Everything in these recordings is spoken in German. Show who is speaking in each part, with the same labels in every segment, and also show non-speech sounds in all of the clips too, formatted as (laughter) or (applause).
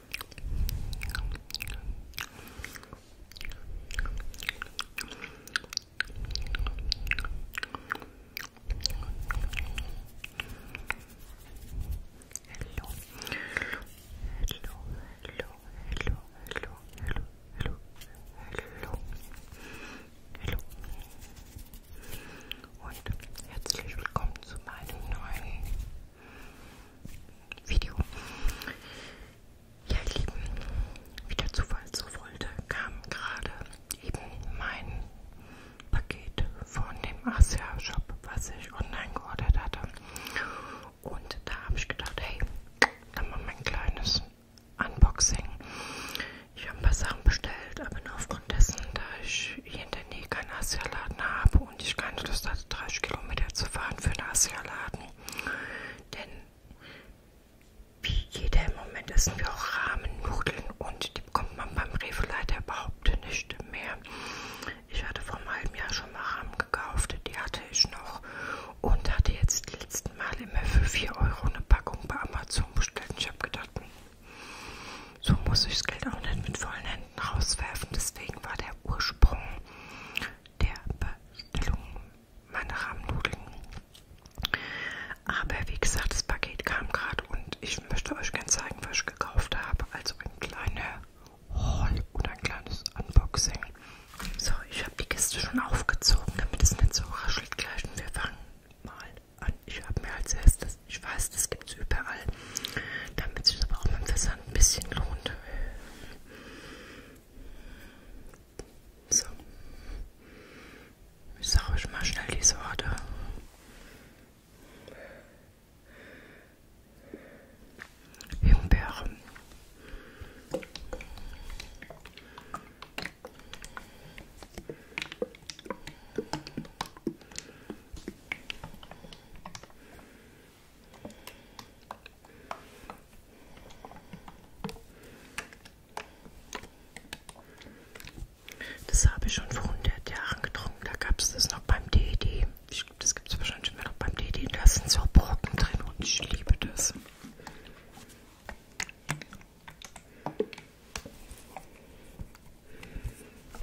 Speaker 1: hello, hello, hello, hello, hello, hello, hello, hello, hello. Und herzlich willkommen zu meinem neuen Video. Ja, ihr Lieben, wie der Zufall so wollte, kam gerade eben mein Paket von dem Asia-Shop, was ich online geordert hatte. Und da habe ich gedacht, hey, dann mal mein kleines Unboxing. Ich habe ein paar Sachen bestellt, aber nur aufgrund dessen, da ich hier in der Nähe keinen Asia-Laden habe, habe und ich keine Lust hatte, 30 Kilometer zu fahren für einen Asialaden. Denn wie jeder im Moment essen wir auch Rahmennudeln und die bekommt man beim Rewe leider überhaupt nicht mehr. Ich hatte vor einem halben Jahr schon mal Rahmen gekauft, die hatte ich noch und hatte jetzt die letzten Mal immer für 4 Euro eine Packung bei Amazon bestellt. Ich habe gedacht, hm, so muss ich das Geld auch nicht mit vollen Händen rauswerfen. Deswegen war der Ursprung der Bestellung meine Rahmennudeln. Aber wie gesagt, das Paket kam gerade und ich möchte euch gerne zeigen, was ich gekauft habe. Also ein kleiner Haul oder ein kleines Unboxing. So, ich habe die Kiste schon aufgezogen, damit es nicht so raschelt gleich. Und wir fangen mal an. Ich habe mir als erstes, ich weiß, das gibt es überall, damit sich aber auch mit dem Wasser ein bisschen lohnt. So. Ich sage euch mal schnell die Sorte. Himbeere. Das habe ich schon vor 100 Jahren getrunken. Da gab es das noch beim DD. Ich glaube, das gibt es wahrscheinlich immer noch beim DD. Da sind so Brocken drin und ich liebe das.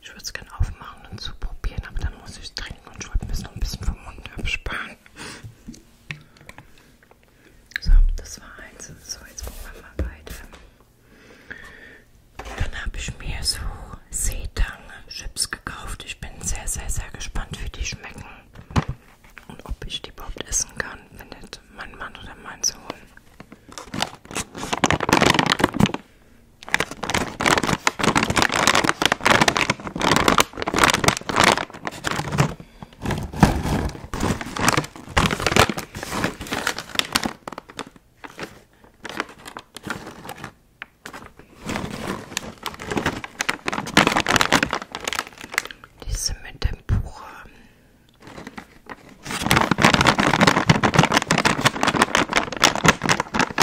Speaker 1: Ich würde es gerne aufmachen und zu so probieren, aber dann muss ich es trinken und ich wollte mir es noch ein bisschen vom Mund absparen. So, das war eins. So, jetzt gucken wir mal weiter. Dann habe ich mir so Seetang-Chips gekauft. Ich bin sehr, sehr, sehr gespannt, wie die schmecken. Und ob ich die überhaupt essen kann, wenn nicht mein Mann oder mein Sohn. Diese mit dem Buch.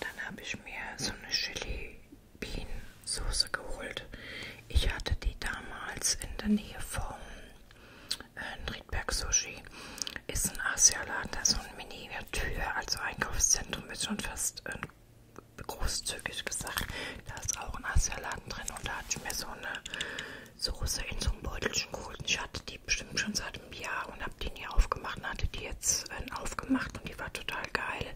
Speaker 1: Dann habe ich mir so eine Chili Bean Soße geholt. Ich hatte die damals in der Nähe vom äh, Riedberg Sushi. Ist ein Asialaden, da so eine Miniatur, also Einkaufszentrum ist schon fast äh, großzügig gesagt. Da ist auch ein Asialaden drin und da hatte ich mir so eine Soße in so einem Beutelchen geholt. Ich hatte die die bestimmt schon seit einem Jahr und habe die nie aufgemacht und hatte die jetzt äh, aufgemacht und die war total geil.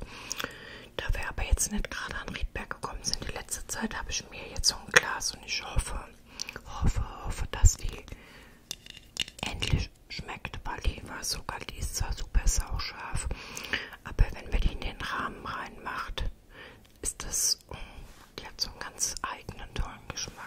Speaker 1: Da wir aber jetzt nicht gerade an Riedberg gekommen sind, die letzte Zeit habe ich mir jetzt so ein Glas und ich hoffe, hoffe, hoffe, dass die endlich schmeckt, weil die war sogar, die ist zwar super sauscharf, aber wenn man die in den Rahmen reinmacht, ist das, die hat so einen ganz eigenen tollen Geschmack.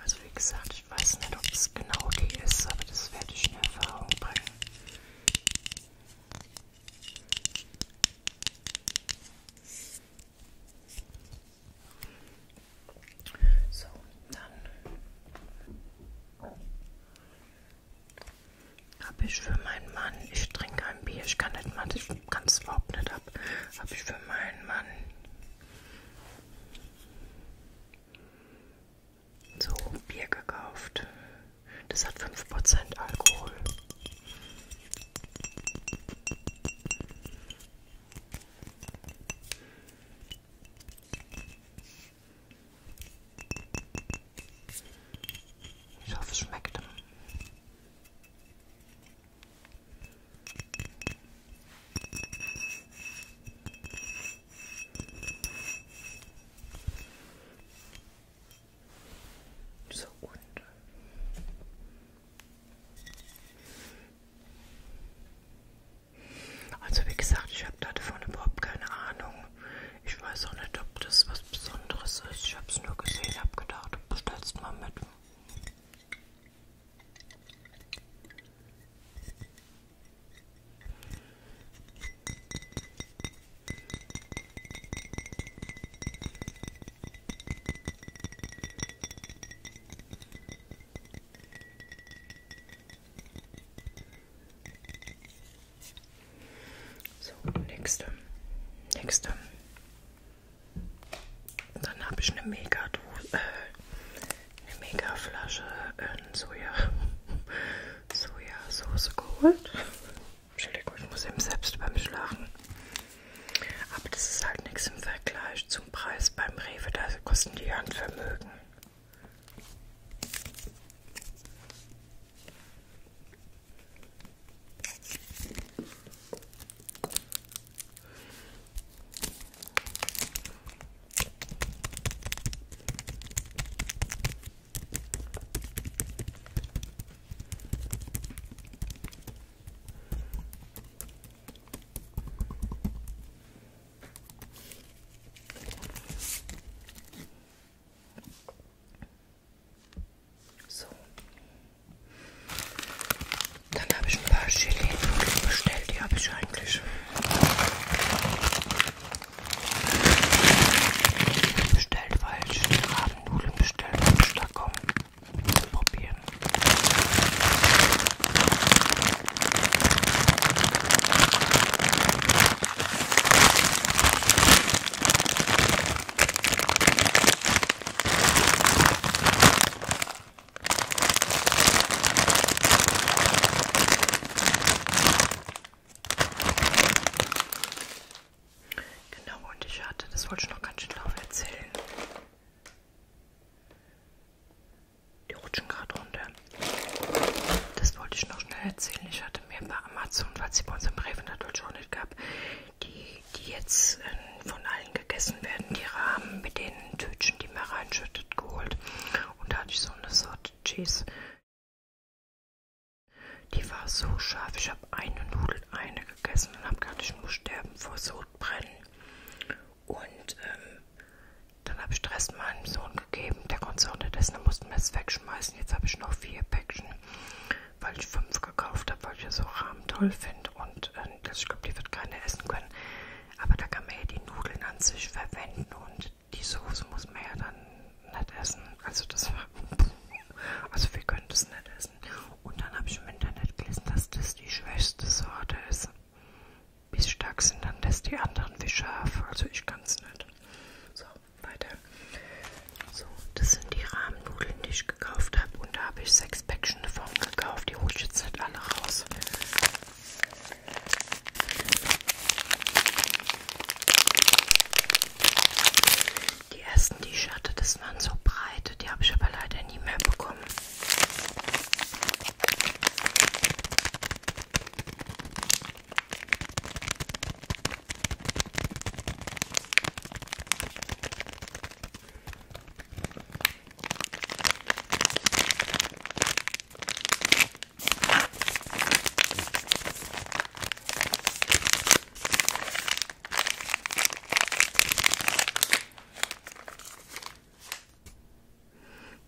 Speaker 1: Also wie gesagt, ich weiß nicht, ob es genau die ist, aber das werde ich in Erfahrung bringen. So, dann habe ich für meinen Mann, ich trinke ein Bier, ich kann nicht mal, ich kann es überhaupt nicht ab, habe ich für meinen Mann so, Bier gekauft. Das hat 5% Alkohol. Ich hoffe, es schmeckt. So und also wie gesagt, ich habe davon überhaupt keine Ahnung. Ich weiß auch nicht, ob das was Besonderes ist. Ich habe es nur gesehen, habe gedacht, du bestellst mal mit. So, nächste. Nächste. Dann habe ich eine mega äh, eine Megaflasche in ähm, Soja, (laughs) Sojasauce geholt. Entschuldigung, ich muss eben selbst beim Schlafen. Aber das ist halt nichts im Vergleich zum Preis beim Rewe, da kosten die Handvermögen. So. Dann habe ich ein paar Gelee bestellt, die habe ich eigentlich Bestellt, weil Strafnudeln bestellt vom Stakom. Probieren. Genau, und ich hatte, das wollte ich noch ganz schön drauf erzählen. Die rutschen gerade runter. Das wollte ich noch schnell erzählen. Ich hatte mir bei Amazon, weil sie bei uns im Rewe natürlich auch nicht gab, die, die jetzt äh, von allen gegessen werden, die Rahmen mit den Tütchen, die man reinschüttet, geholt. Und da hatte ich so eine Sorte Cheese. Die war so scharf. Ich habe eine Nudel, eine gegessen und habe gedacht, ich muss sterben vor Sodbrennen. Und ähm, dann habe ich den Rest meinem Sohn gegeben. Der konnte es auch nicht essen, dann mussten wir es wegschmeißen. Jetzt habe ich noch vier Päckchen, weil ich fünf gekauft habe, weil ich ja so Rahmen toll finde. Und äh, ich glaube, die wird keiner essen können. Aber da kann man ja die Nudeln an sich verwenden und die Soße muss man ja dann nicht essen. Also das war. (laughs) Also wir können das nicht essen. Und dann habe ich im Internet gelesen, dass das die schwächste Sorte ist. Wie stark sind dann das die anderen wie scharf? Also ich kann es nicht. So, weiter. So, das sind die Rahmennudeln, die ich gekauft habe. Und da habe ich sechs Päckchen davon gekauft. Die hole ich jetzt nicht alle raus. Die ersten T-Shirts, das waren so breite, die habe ich aber leider nie mehr bekommen.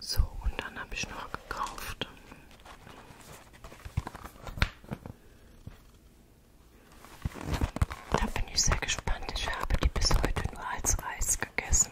Speaker 1: So, und dann habe ich noch gekauft. Da bin ich sehr gespannt. Ich habe die bis heute nur als Reis gegessen.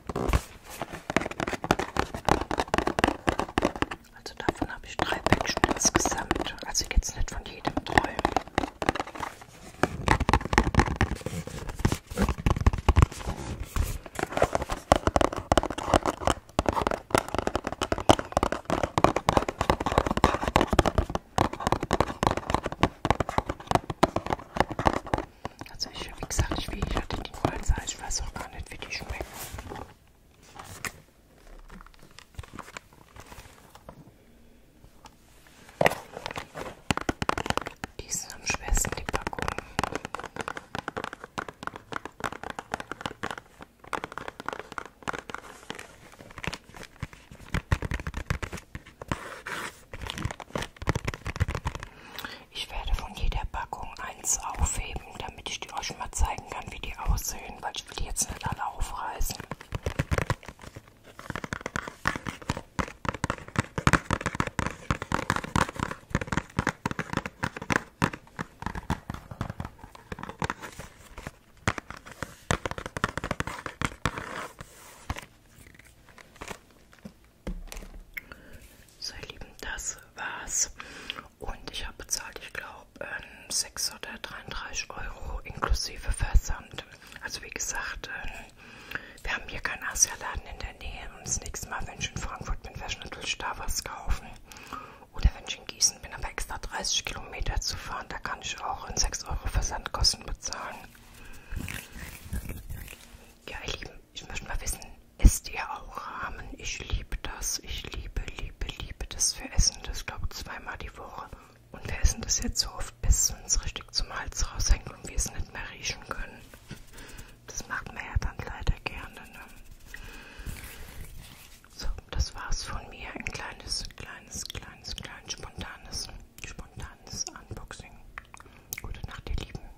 Speaker 1: Also davon habe ich drei Päckchen insgesamt. Also jetzt nicht von jedem träumen. Also ich, wie gesagt, ich, ich hatte die Goldsalz, ich weiß auch gar nicht, wie die schmeckt. Die ist am schwersten, die Packung. Ich werde von jeder Packung eins aufheben, damit ich die euch mal zeigen kann, wie die aussehen, weil ich will die jetzt nicht alle aufreißen. So, ihr Lieben, das war's. Und ich habe bezahlt, ich glaube, ähm, 6 oder 33 Euro inklusive Versand. Also wie gesagt, ähm, wir haben hier keinen Asialaden in der Nähe. Und das nächste Mal, wenn ich in Frankfurt bin, werde ich natürlich da was kaufen. Oder wenn ich in Gießen bin, aber extra 30 Kilometer zu fahren, da kann ich auch in 6 Euro Versandkosten bezahlen. Ja, ihr Lieben, ich möchte mal wissen, esst ihr auch Rahmen? Ich liebe das. Ich liebe, liebe, liebe das. Wir essen das, glaube ich, zweimal die Woche. Und wir essen das jetzt so oft, bis es uns richtig zum Hals raushängt und wir es nicht mehr riechen können. Das macht man ja dann leider gerne. Ne? So, das war's von mir. Ein kleines, kleines, kleines, kleines, spontanes, spontanes Unboxing. Gute Nacht, ihr Lieben.